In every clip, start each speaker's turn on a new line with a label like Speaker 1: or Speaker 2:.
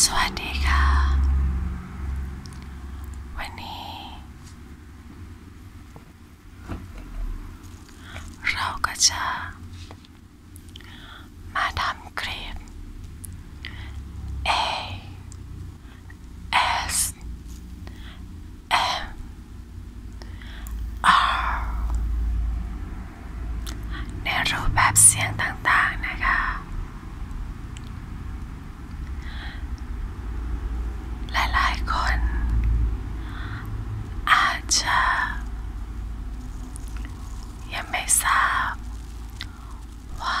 Speaker 1: สวัสดีค่ะ วันนี้ เราก็จะมาทำคลิป A S M R ในรูปแบบเสียงต่างๆ นะคะ หลายๆ คนอาจจะยังไม่ทราบว่า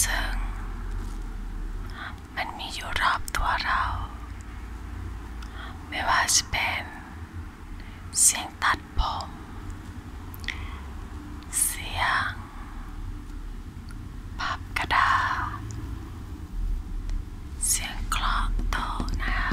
Speaker 1: ซึ่งมันมีอยู่รอบตัวเราไม่ว่าจะเป็นเสียงตัดผมเสียงพับกระดาษเสียงคลอกโตนะคะ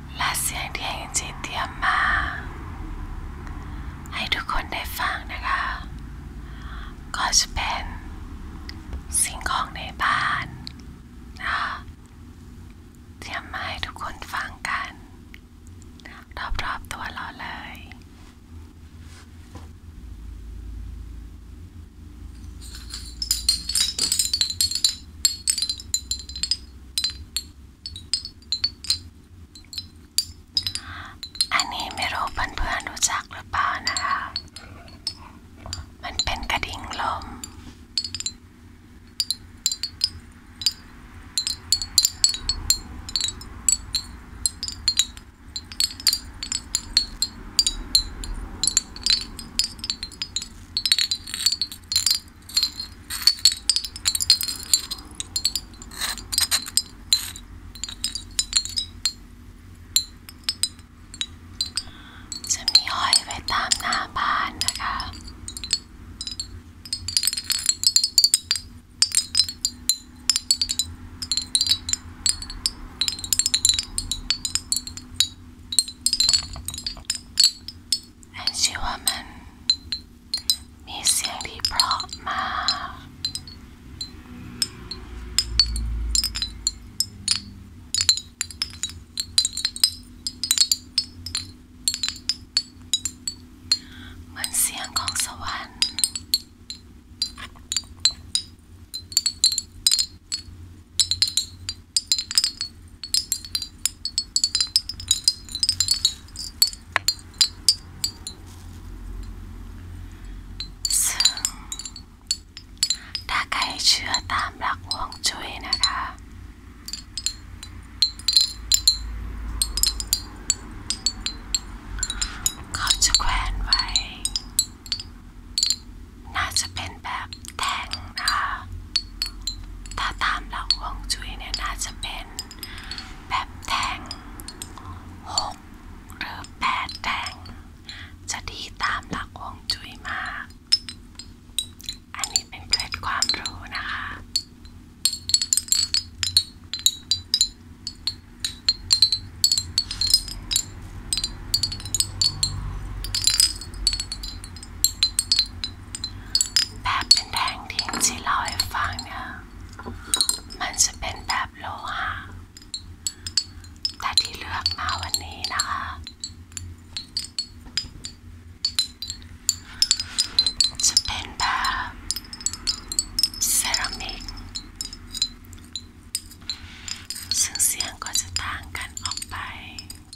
Speaker 1: และเสียงที่เอ็นจีเตรียมมา ให้ทุกคนได้ฟังนะคะ ก็จะเป็นสิ่งของในบ้านนะเตรียมมาให้ทุกคนฟังกัน รอบๆตัวเราเลยอันนี้ไม่รู้เพื่อนๆรู้จักหรือเปล่านะคะมันเป็นกระดิ่งลมจะมีห้อยไว้ตามหน้าบ้านนะคะอันชื่อว่ามันมีเสียงที่เพราะมากเหมือนเสียงของสวรรค์ถ้าใครเชื่อตามหลักฮวงจุ้ยนะคะ เขจะแขวนไว้ น่าจะเป็นแบบแทงนะคะถ้าตามหลักฮวงจุ้ยเนี่ยน่าจะเป็นแบบแทงหกหรือแปดแทงจะดีตามหลักฮวงจุ้ยมาก อันนี้เป็นเคล็ดความรู้นะคะแบบเป็นแท่งทิ้งที่เล่าให้ฟังเนี่ย มันจะเป็นแบบโลหะแต่ที่เลือกมาวันนี้นะคะ จะเป็นแบบเซรามิกซึ่งเสียงก็จะต่างกันออกไป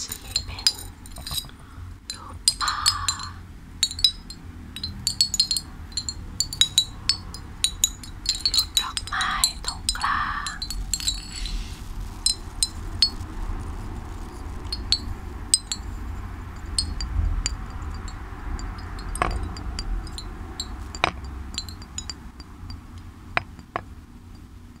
Speaker 1: ชี้เป็นรูปปลารูปดอกไม้ตรงกลางรูป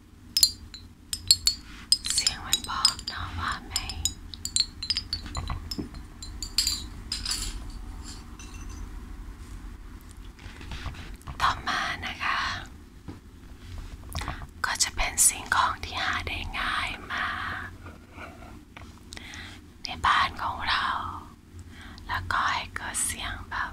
Speaker 1: เสียงมันบอกน้องว่าไงต่อมานะคะ ก็จะเป็นสิ่งของที่หาได้ง่ายมาในบ้านของเรา แล้วก็ให้เกิดเสียงแบบ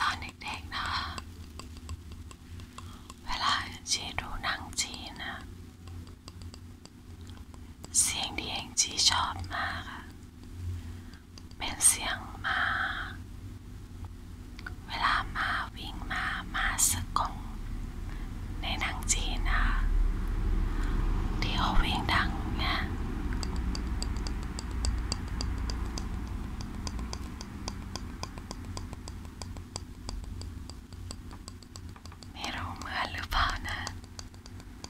Speaker 1: ตอนเด็กๆนะเวลาจีดูหนังจีนนะ เสียงที่เองจีชอบมากอะเป็นเสียงม้าเวลาม้าวิ่งมาม้าสึกของในหนังจีนนะที่เขาวิ่งดังเนี่ยไม่รู้เหมือนหรือเปล่านะ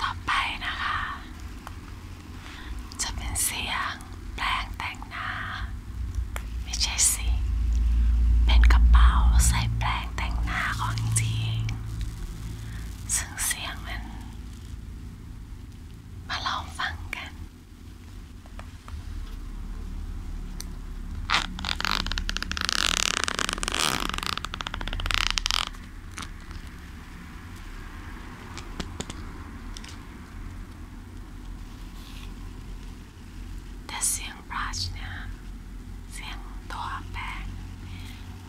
Speaker 1: ต่อไปนะคะ จะเป็นเสียงแปลงแต่งหน้าไม่ใช่สิเป็นกระเป๋าใส่แปลงแต่งหน้าของจริงซึ่งเสียงมันมาลองฟังกัน แต่เสียงบรัชเนี่ยเสียงตัวแปลง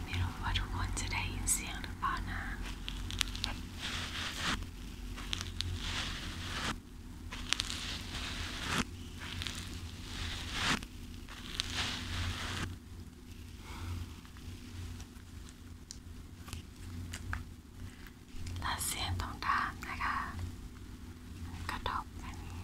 Speaker 1: ไม่รู้ว่าทุกคนจะได้ยินเสียงหรือเปล่านะและเสียงตรงด้ามนะคะ กระทบอันนี้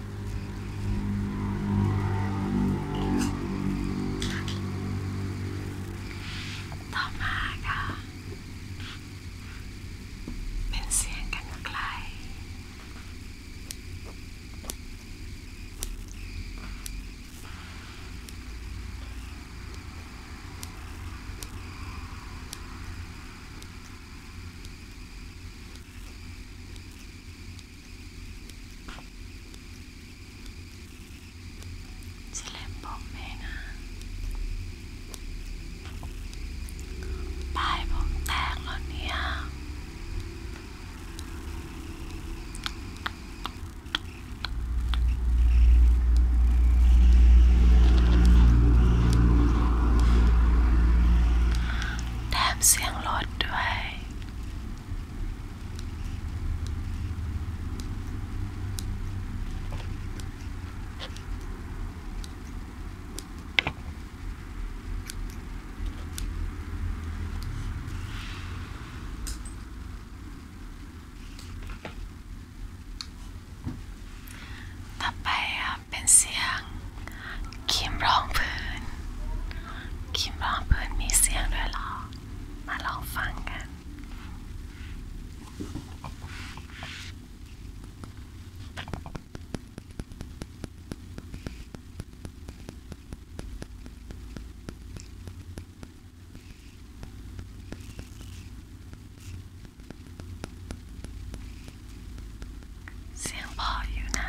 Speaker 1: ต่อมาค่ะ เป็นเสียงกันไกลสแลมบอกแม่นะปลายผมแตกแล้วเนี่ยแถมเสียงรถด้วยต่อไปเป็นเสียงครีมรองพื้นคิดว่าเพื่อนมีเสียงด้วยหรอ มาลองฟังกัน เสียงพออยู่นะ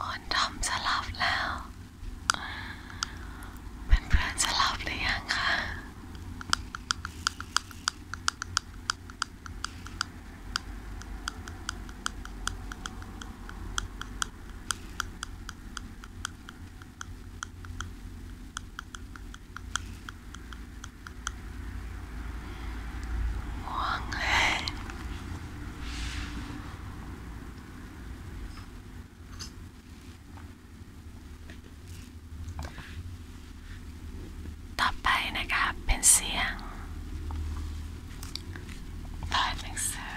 Speaker 1: อ่อนทำสลับแล้วเป็นเพื่อนสลับหรือยังคะอห่วงต่อไปนะคะเป็นเสียงลอยหนังสือ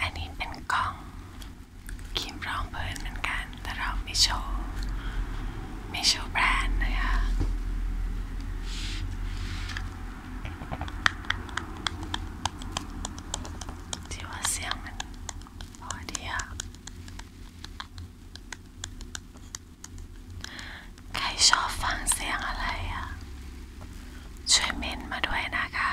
Speaker 1: อันนี้เป็นกล้องครีมรองพื้นเหมือนกันแต่เราไม่โชว์ไม่โชว์แบรนด์นะคะที่ว่าเสียงมันพอดีอะใครชอบฟังเสียงอะไรอ่ะช่วยเมนมาด้วยนะคะ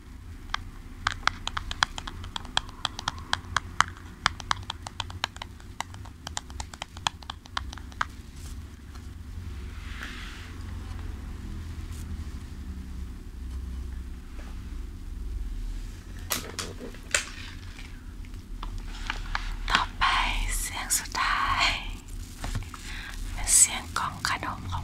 Speaker 1: ต่อไปเสียงสุดท้ายเป็นเสียงกล่องขนม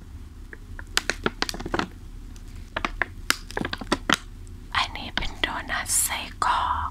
Speaker 1: อันนี้เป็นโดนัทไส้กรอก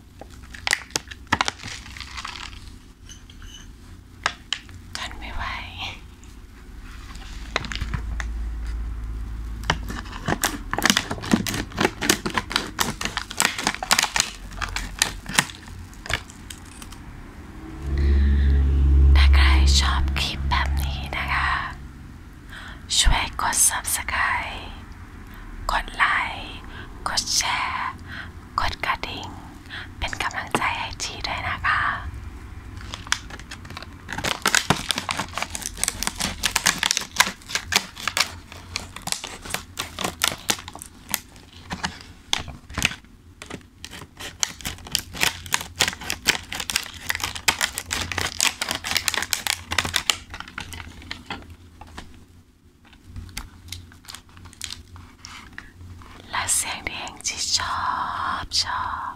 Speaker 1: ทนไม่ไหวถ้าใครชอบคลิปแบบนี้นะคะ ช่วยกด subscribe กดไลค์ กดแชร์ กดกระดิ่งเป็นกำลังใจให้จีด้วยนะคะและเสียงที่เองจีชอบชอบ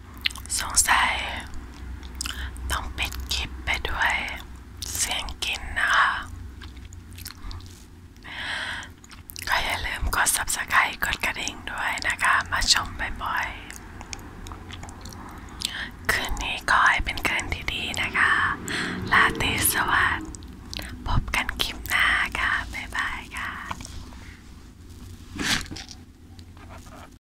Speaker 1: สงสัย ต้องปิดคลิปไปด้วยเสียงกินนะคะก็อย่าลืมกด subscribe กดกระดิ่งด้วยนะคะมาชมบ่อยๆคืนนี้ก็ให้เป็นคืนที่ดีนะคะ ลาตรีสวัสดิ์พบกันคลิปหน้าค่ะ บ๊ายบายค่ะ